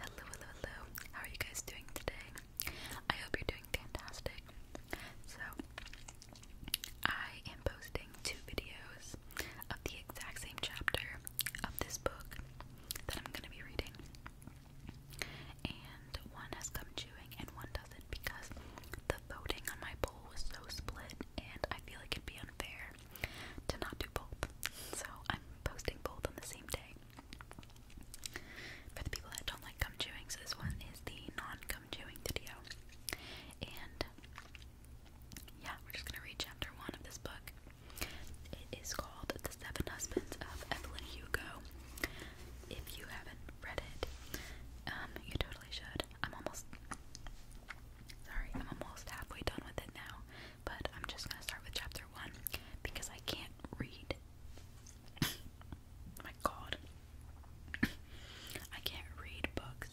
Hello, hello, hello. How are you guys doing today? I hope you're doing fantastic. So, I am posting two videos of the exact same chapter of this book that I'm going to be reading. And one has come chewing and one doesn't because the voting on my poll was so split and I feel like it'd be unfair to not do both. So I'm posting both on the same day. For the people that don't like gum chewing, so this one is the non-gum chewing video. And yeah, we're just gonna read chapter one of this book. It is called The Seven Husbands of Evelyn Hugo. If you haven't read it, um, you totally should. I'm almost sorry, I'm almost halfway done with it now but I'm just gonna start with chapter one because I can't read. My God, I can't read books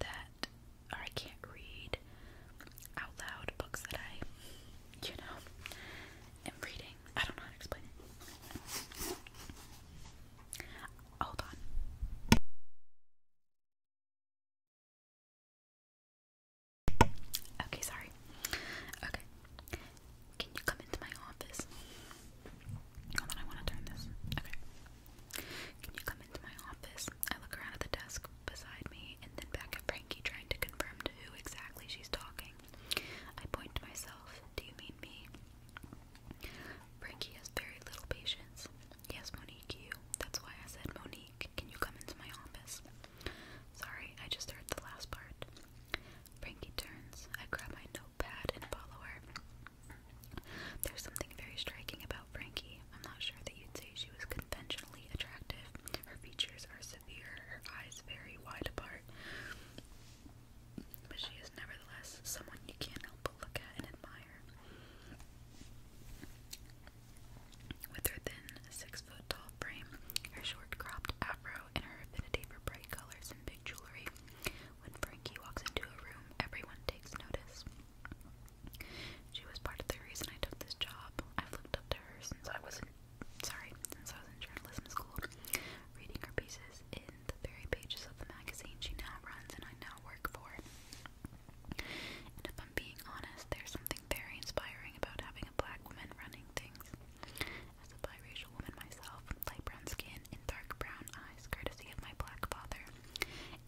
that, or I can't read out loud books that I, you know, am reading. I don't know how to explain Hold on. Okay, sorry. Okay. Can you come into my office? I want to turn this. Okay. Can you come into my office? I look around at the desk beside me and then back at Frankie trying to confirm who exactly she's talking. I point to myself. Do you mean me? Frankie has very little patience. Yes, Monique, That's why I said Monique week. Can you come into my office? Sorry, I just heard the last part. Frankie turns. I grab my notepad and follow her. There's something very striking about Frankie. I'm not sure that you'd say she was conventionally attractive. Her features are severe, her eyes very wide apart. But she is nevertheless someone you can't help but look at and admire. With her thin, six foot tall frame, her short cropped afro, and her affinity for bright colors and big jewelry, when Frankie walks into a room, everyone takes notice. She was part of the reason I took this job. I've looked up to her since I was in sorry, since I was in journalism school, reading her pieces in the very pages of the magazine she now runs and I now work for. And if I'm being honest, there's something very inspiring about having a black woman running things. As a biracial woman myself, light brown skin and dark brown eyes, courtesy of my black father,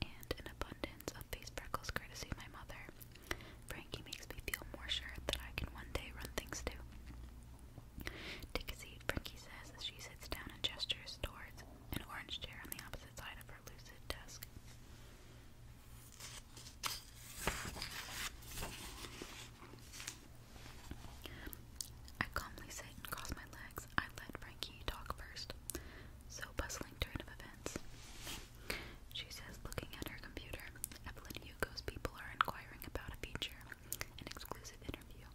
and an abundance of face freckles, courtesy of my mother, Frankie makes me feel more sure that I can one day run things too. Take a seat, Frankie says as she sits down and gestures towards an orange chair on the opposite side of I calmly sit and cross my legs. I let Frankie talk first. So bustling turn of events. She says, looking at her computer, Evelyn Hugo's people are inquiring about a feature, an exclusive interview.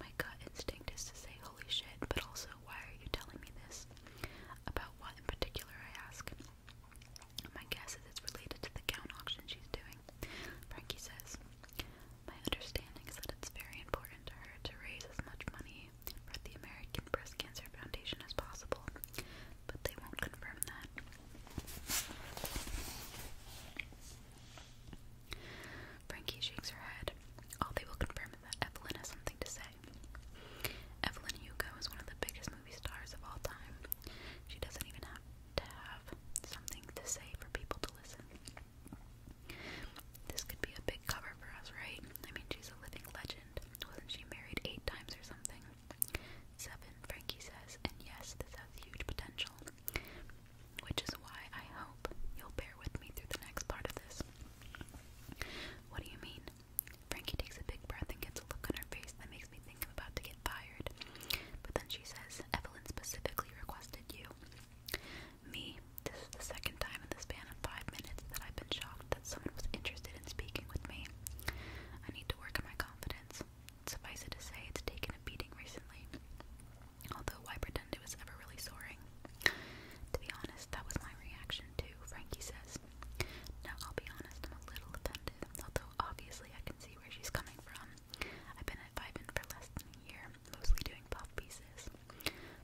My gut instinct is to say, holy shit, but also, why are you telling me this? About about what in particular, I ask. My guess is it's related to the gown auction she's doing. Frankie says, My understanding is that it's very important to her to raise as much money for the American Breast Cancer Foundation as possible, but they won't confirm that. Frankie shakes her head. All they will confirm is that Evelyn has something to say say. Evelyn Hugo is one of the biggest movie stars of all time. She doesn't even have to have something to say for people to listen. This could be a big cover for us, right? I mean, she's a living legend. Wasn't she married eight times or something? Seven, Frankie says, and yes, this has huge potential. Which is why I hope you'll bear with me through the next part of this. What do you mean? Frankie takes a big breath and gets a look on her face that makes me think I'm about to get fired. But then she says, Evelyn specifically requested you. Me, this is the second time in the span of five minutes that I've been shocked that someone was interested in speaking with me. I need to work on my confidence. Suffice it to say, it's taken a beating recently. Although, why pretend it was ever really soaring? To be honest, that was my reaction too, Frankie says. Now, I'll be honest, I'm a little offended, although obviously I can see where she's coming from. I've been at Vibin for less than a year, mostly doing puff pieces.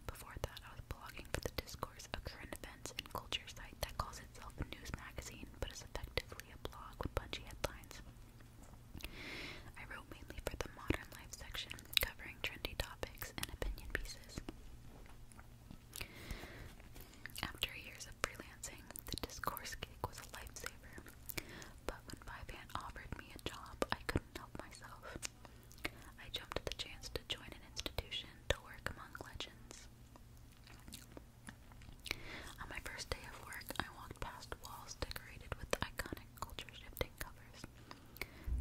Before that, I was blogging for the Discourse, a current events and culture site that calls itself a news magazine, but is effectively a blog with punchy headlines. I wrote mainly for the modern life section, covering trendy topics and opinion pieces. After years of freelancing, the discourse gig was a lifesaver. But when Vyvan offered me a job, I couldn't help myself. I jumped at the chance to join an institution to work among legends. On my first day of work, I walked past walls decorated with iconic culture shifting covers.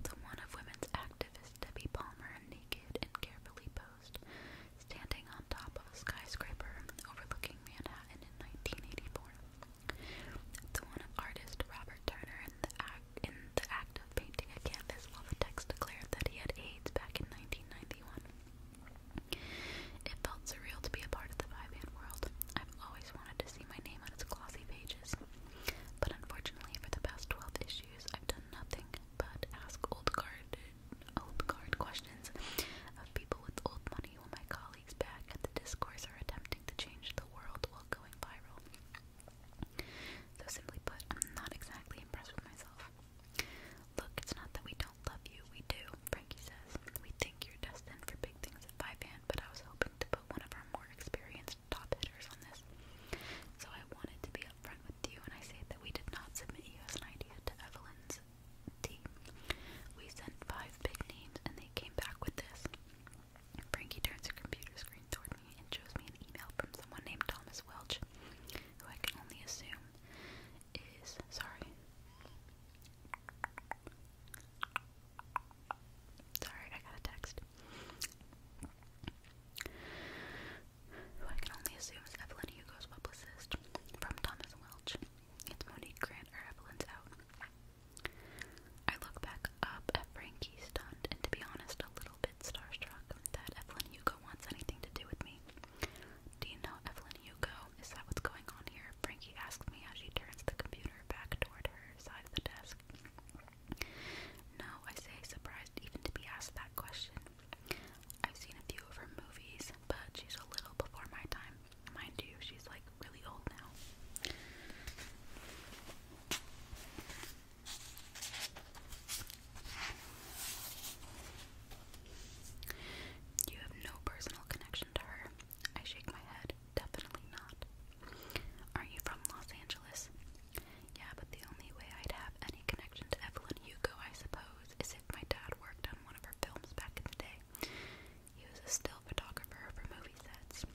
The one of women's activist Debbie Palmer, naked and carefully posed, standing on top of a skyscraper overlooking Manhattan in 1984. The one of artist Robert Turner in the act in the act of painting a canvas while the text declared that he had AIDS back in 1991. It felt surreal to be a part of the five world. I've always wanted to see my name on its glossy pages. But unfortunately, for the past 12 issues, I've done nothing but ask old guard, old guard questions of people with old money while my colleagues back at the discourse are attempting to change the world while going viral. So simply put, I'm not exactly impressed with myself. Look, it's not that we don't love you, we do, Frankie says. We think you're destined for big things at Vivan, but I was hoping to put one of our more experienced the top hitters on this. So I wanted to be upfront with you, and I say that we did not submit you as an idea to Evelyn's team. We sent five big names, and they came back with this. Frankie turns her computer screen toward me and shows me an email from someone named Thomas Welch, who I can only assume is sorry. Sorry, I got a text. Who I can only assume is Evelyn Hugo's publicist. From Thomas Welch. It's Monique Grant or Evelyn's out. I look back up at Frankie stunned and to be honest a little bit starstruck that Evelyn Hugo wants anything to do with me. Do you know Evelyn Hugo? Is that what's going on here? Frankie asks me as she turns the computer back toward her side of the desk. No, I say, surprised even to be asked that question. I've seen a few of her movies, but she's a little before my time. Mind you, she's like really old now. You have no personal connection to her. I shake my head. Definitely not. Are you from Los Angeles? Yeah, but the only way I'd have any connection to Evelyn Hugo, I suppose, is if my dad worked on one of her films back in the day. He was a still photographer for movie sets.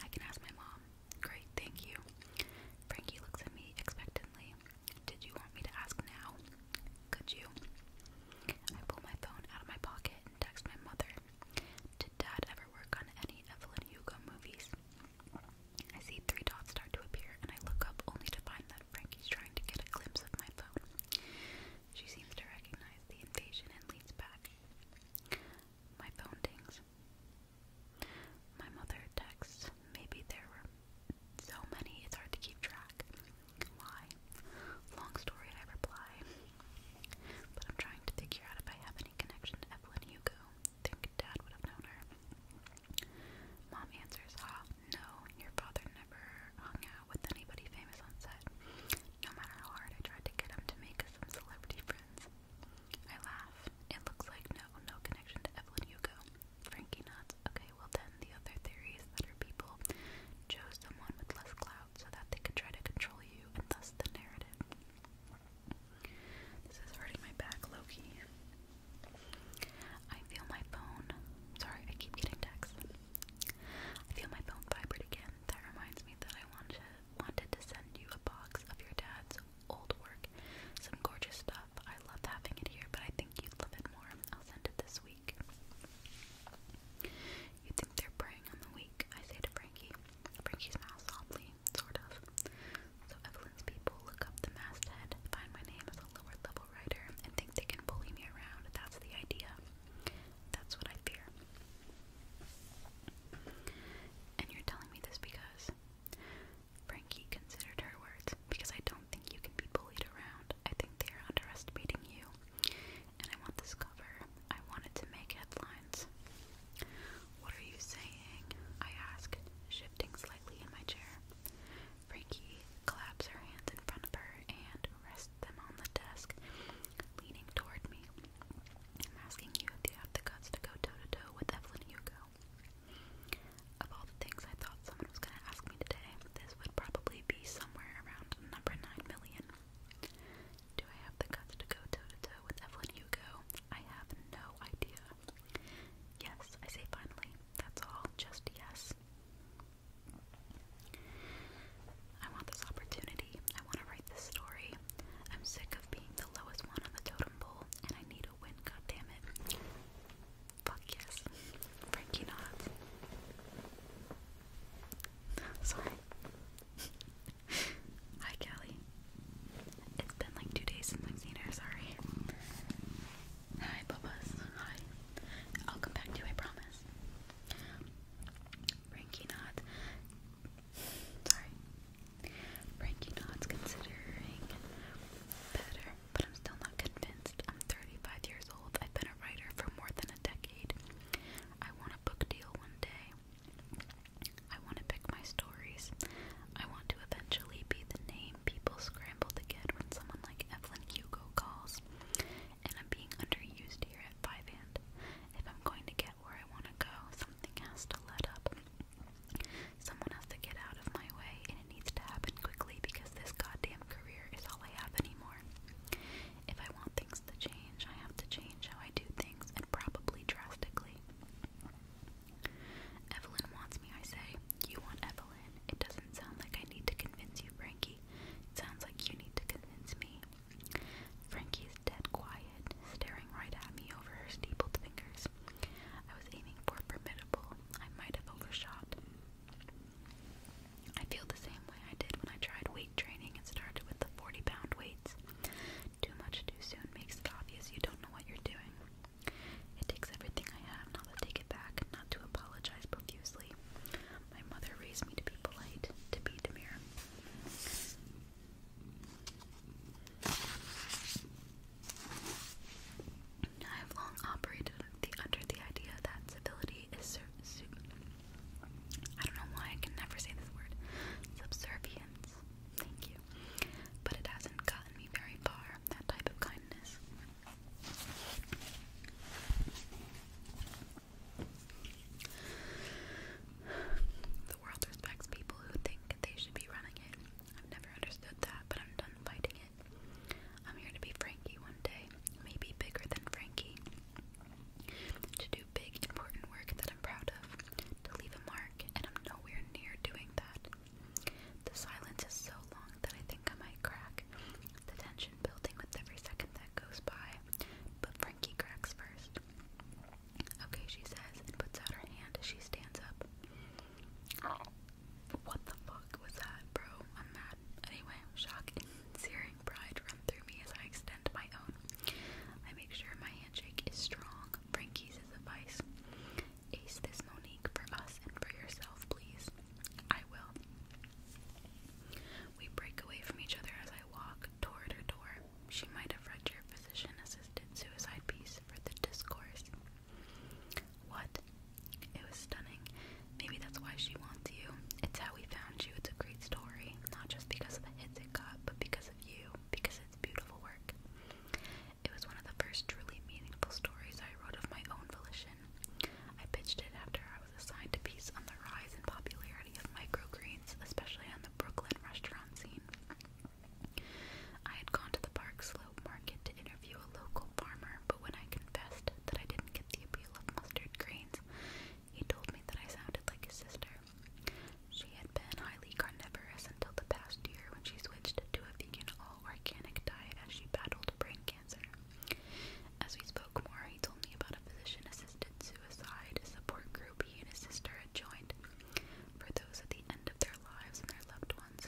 I can ask my mom. Great, thank you. Frankie looks at me expectantly. Did you want me to ask now? Could you? I pull my phone out of my pocket and text my mother. Did Dad ever work on any Evelyn Hugo movies? I see three dots start to appear, and I look up only to find that Frankie's trying to get a glimpse of my phone. She seems to recognize the invasion and leads back. My phone dings. My mother texts. Maybe there were so many, it's hard to keep track. Why? Long story, I reply. But I'm trying to figure out if I have any connection to Evelyn Hugo think Dad would have known her. Mom answers, ah, no, your father never hung out with anybody famous on set. No matter how hard I tried to get him to make us celebrity friends." I laugh. It looks like no, no connection to Evelyn Hugo. Frankie nods. Okay, well then, the other theory is that her people chose someone with less clout so that they could try to control you and thus the narrative. This is hurting my back, Loki. I feel my phone. Sorry, I keep getting texts. I feel my phone vibrate again. That reminds me that I wanted wanted to send you a box of your dad's old work. Some gorgeous stuff. I love having it here, but I think you'd love it more. I'll send it this week. You think they're preying on the weak? I say to Frankie. Frankie's mouth softly, sort of. So Evelyn's people look up the masthead, find my name as a lower level writer, and think they can bully me around. That's the idea. That's what I fear. And you're telling me this because Frankie considered her words because I don't think you can be bullied around. I think they are underestimating you. And I want this cover. I want it to make headlines. What are you saying? I asked, shifting slightly in my chair. Frankie claps her hands in front of her and rests them on the desk, leaning toward me. I'm asking you if you have the guts to go toe to toe with Evelyn Hugo. Of all the things I thought someone was going to ask me today, this would probably be somewhere around number 9 million. Do I have the guts to go toe to toe with Evelyn Hugo? I have no idea. Yes, I say finally. That's all. Just yes. I want this opportunity. I want to write this story. I'm sick of being the lowest one on the totem pole, and I need a win, goddammit. Fuck yes. Frankie Knott. Sorry. Hi, Kelly. It's been like two days since I've seen her, sorry. Hi, Bubba's. Hi. I'll come back to you, I promise. Frankie Knot. Sorry. Frankie Knot's considering better, but I'm still not convinced. I'm 35 years old. I've been a writer for more than a decade. I want a book deal one day. I want to pick my stories. I want to eventually be the name people scramble to get when someone like Evelyn Hugo calls. And I'm being underused here at Five and. If I'm going to get where I want to go, something has to let up. Someone has to get out of my way, and it needs to happen quickly because this goddamn career is all I have anymore. If I want things to change, I have to change how I do things and probably drastically. Evelyn wants me, I say. You want Evelyn. It doesn't sound like I need to convince you, Frankie. It sounds like you need to convince me. Frankie is dead quiet, staring right at me over her steepled fingers. I was aiming for formidable. I might have overshot. I feel the same way I did when I tried weight training and started with the 40 pound weight. Too much too soon makes it obvious you don't know what you're doing. It takes everything I have not to take it back, not to apologize profusely. My mother raised me to be polite, to be demure. I have long operated under the idea that civility is ser I don't know why I can never say this word. Subservience thank you. But it hasn't gotten me very far, that type of kindness. The world respects people who think they should be running it. I've never understood that, but I'm done fighting it. I'm here to be Frankie one day, maybe bigger than Frankie to do big, important work that I'm proud of, to leave a mark, and I'm nowhere near doing that. The silence is so long that I think I might crack, the tension building with every second that goes by, but Frankie cracks first. Okay, she says, and puts out her hand as she stands up. What the fuck was that, bro? I'm mad. Anyway, shock and searing pride run through through me as I extend my own. I make sure my handshake is strong. Frankie's is advice. Ace this Monique for us and for yourself, please. I will. We break away from each other as I walk toward her door. She might have read your physician assisted suicide piece for the discourse. What? It was stunning. Maybe that's why she wants you. It's how we found you. It's a great story. Not just because of the hits it got, but because of you because it's beautiful work. It was one of the first truly meaningful stories I wrote of my own volition. I pitched it after I was assigned to piece on the rise in popularity of microgreens, especially on the Brooklyn restaurant scene. I had gone to the Park Slope Market to interview a local farmer, but when I confessed that I didn't get the appeal of mustard greens, he told me that I sounded like his sister. She had been highly carnivorous until the past year when she switched to a vegan all organic diet as she battled brain cancer. As we spoke more, he told me about a physician assisted suicide support group he and his sister had joined for those at the end of their lives and their loved ones.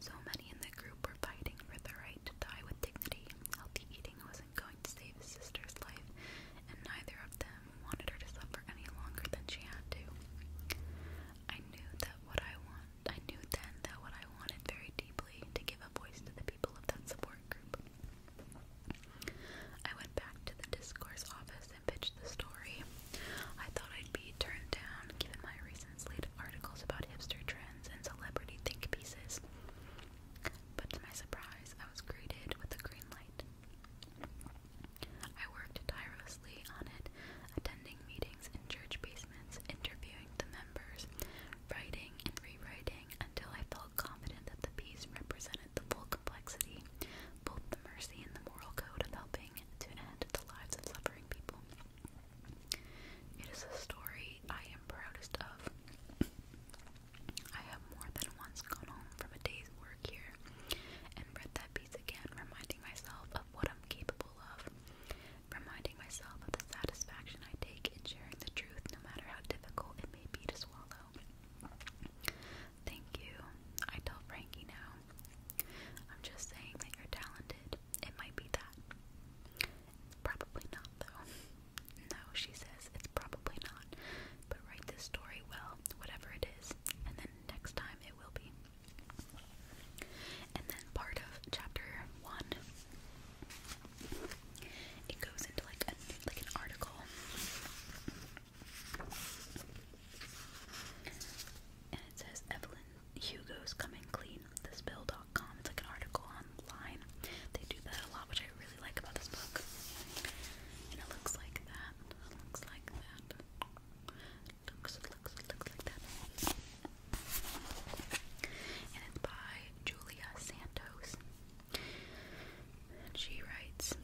So many in the group were fighting for the right to die with dignity. Healthy eating wasn't going to save his sister's life, and neither of them wanted her to suffer any longer than she had to. I knew that what I want I knew then that what I wanted very deeply to give a voice to the people of that support group. I went back to the discourse office and pitched the story. I thought I'd be turned down given my recent slate articles about hipster trends and celebrity think pieces. But to my surprise, I was greeted with a green light. I worked tirelessly on it, attending meetings in church basements, interviewing the members, writing and rewriting until I felt confident that the piece represented the full complexity, both the mercy and the moral code of helping to end the lives of suffering people. It is a story I am proudest of. I have more than once gone home from a day's work here and read that piece again, reminding myself of what I'm capable of, reminding myself of the satisfaction I take in sharing the truth, no matter how difficult it may be to swallow. Thank you. I tell Frankie now. I'm just saying that you're talented. It might be that. Probably not, though. No, she says, it's probably not. But write this story well, whatever it is, and then next time it will be. And then part of chapter one, it goes into like like an article, and it says Evelyn Hugo's coming clean. The Spill.com. It's like an article online. Um, they do that a lot, which I really like about this book. And it looks like that. looks like that. looks, looks, looks like that. And it's by Julia Santos. she writes,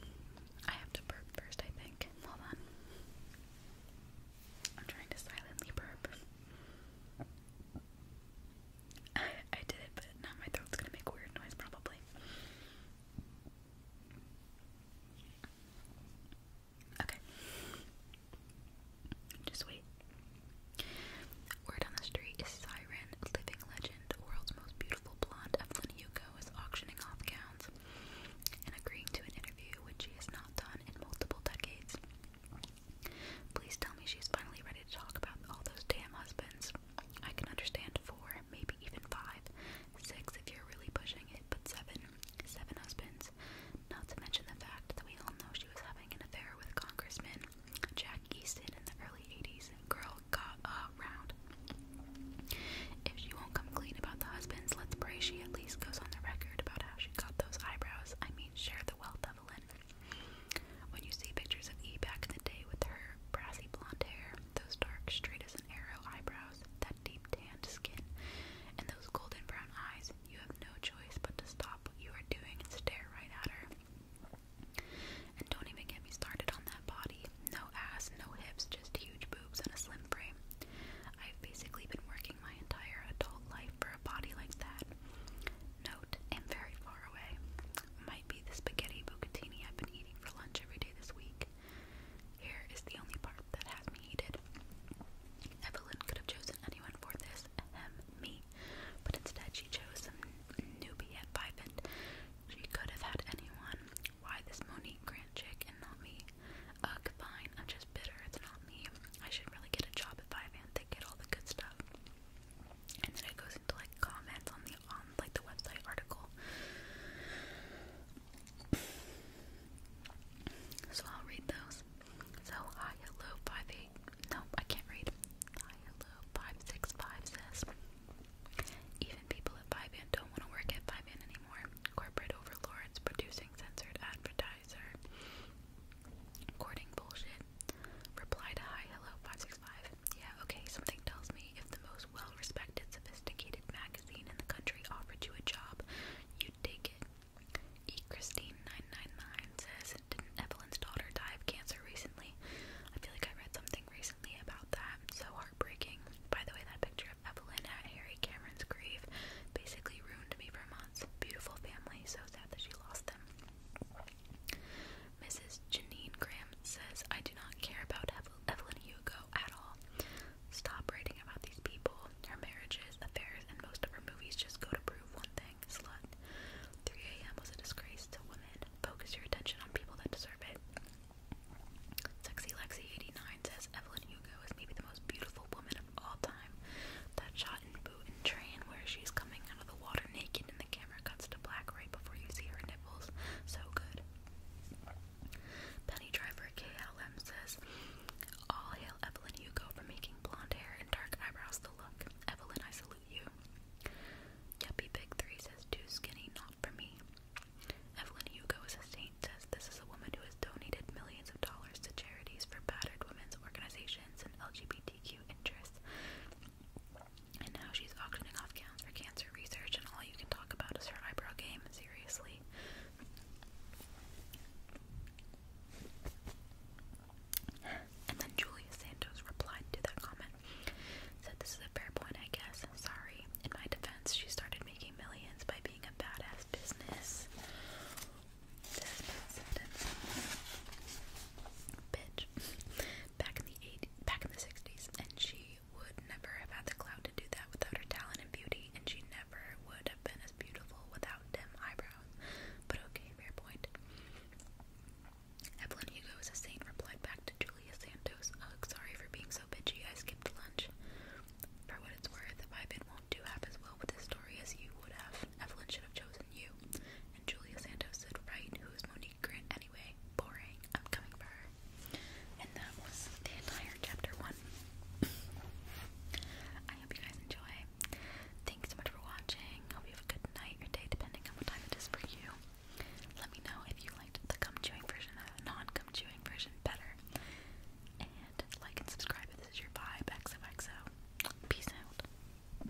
I have to burp first, I think. Hold on. I'm trying to silently burp. I, did it, but now my throat's gonna make weird noise probably. Okay. Just wait. Word on the street is Siren, living legend, world's most beautiful blonde Evelyn Hugo is auctioning off gowns and agreeing to an interview which she has not done in multiple decades. Please tell me she's finally ready to talk about all those damn husbands. I can understand four, maybe even five, six if you're really pushing it, but seven, seven husbands. Not to mention the fact that we all know she was having an affair with Congressman Jack Easton in the early 80s. Girl got around. If she won't come clean about the husbands, let's pray she at least goes on the record about how she got those eyebrows. I mean, share the wealth when you see pictures of E back in the day with her brassy blonde hair, those dark, straight as an arrow eyebrows, that deep tanned skin, and those golden brown eyes, you have no choice but to stop what you are doing and stare right at her. And don't even get me started on that body. No ass, no hips, just huge boobs and a slim frame. I've basically been working my entire adult life for a body like that. Note, I'm very far away. Might be the spaghetti bucatini I've been eating for lunch every day this week. Here is the only part that has me heated. Evelyn could have chosen anyone for this, ahem, me, but instead she chose some newbie at Vivant. She could have had anyone. Why this Monique Grant chick and not me? Ugh, fine, I'm just bitter, it's not me. I should really get a job at Vivant, they get all the good stuff and then it goes into like comments on the on like the website article. So I'll read those. So hi hello five eight. Nope, I can't read. Hi hello five six five says. Even people at Five Band don't want to work at Five Band anymore. Corporate overlords producing censored advertiser. Courting bullshit. Reply to hi hello five six five. Yeah, okay, something tells me if the most well respected, sophisticated magazine in the country offered you a job, you'd take it. E. Christine999 says, Didn't Evelyn's daughter die of cancer recently? I feel like I read something recently about that. So heartbreaking. By the way, that picture of Evelyn at Harry Cameron's grave basically ruined me for months. Beautiful family, so sad that she lost them. Mrs. Janine Graham says, I do not care about Evelyn Hugo at all. Stop writing about these people, their marriages, affairs, and most of her movies just go to prove one thing slut. 3 a.m. was a disgrace to women. Focus your attention on people that deserve it. Sexy Lexi89 says, Evelyn Hugo is maybe the most beautiful woman of all time. That shot train where she's coming out of the water naked and the camera cuts to black right before you see her nipples. So good. Penny driver KLM says, All hail Evelyn Hugo for making blonde hair and dark eyebrows the look. Evelyn, I salute you. Yuppie Big Three says, Too skinny, not for me. Evelyn Hugo is a saint, says this is a woman who has donated millions of dollars to charities for battered women's organizations and LGBTQ interests. And now she's auctioning off gowns for cancer research, and all you can talk about is her eyebrow game. Seriously. And then Julia Santos replied to that comment. Said, This is a fair point, I guess. Sorry. In my defense, she started making millions by being a badass business bitch back in the 80s, back in the 60s, and she would never have had the clout to do that without her talent and beauty, and she never would have been as beautiful without dim eyebrows. But okay, fair point. Evelyn Hugo is a saint, replied back to Julia Santos. Ugh, sorry for being so bitchy, I skipped lunch. For what it's worth, my bid won't do half as well with this story as you would have. Evelyn should have chosen you. And Julia Santos said, Right, who is Monique Grant anyway? Boring, I'm coming for her. And that was the entire chapter one. I hope you guys enjoy. Thanks so much for watching. Hope you have a good night or day, depending on what time it is for you. Let me know if you liked the gum chewing version the non gum chewing version better. And like and subscribe if this is your vibe. XOXO. Peace out.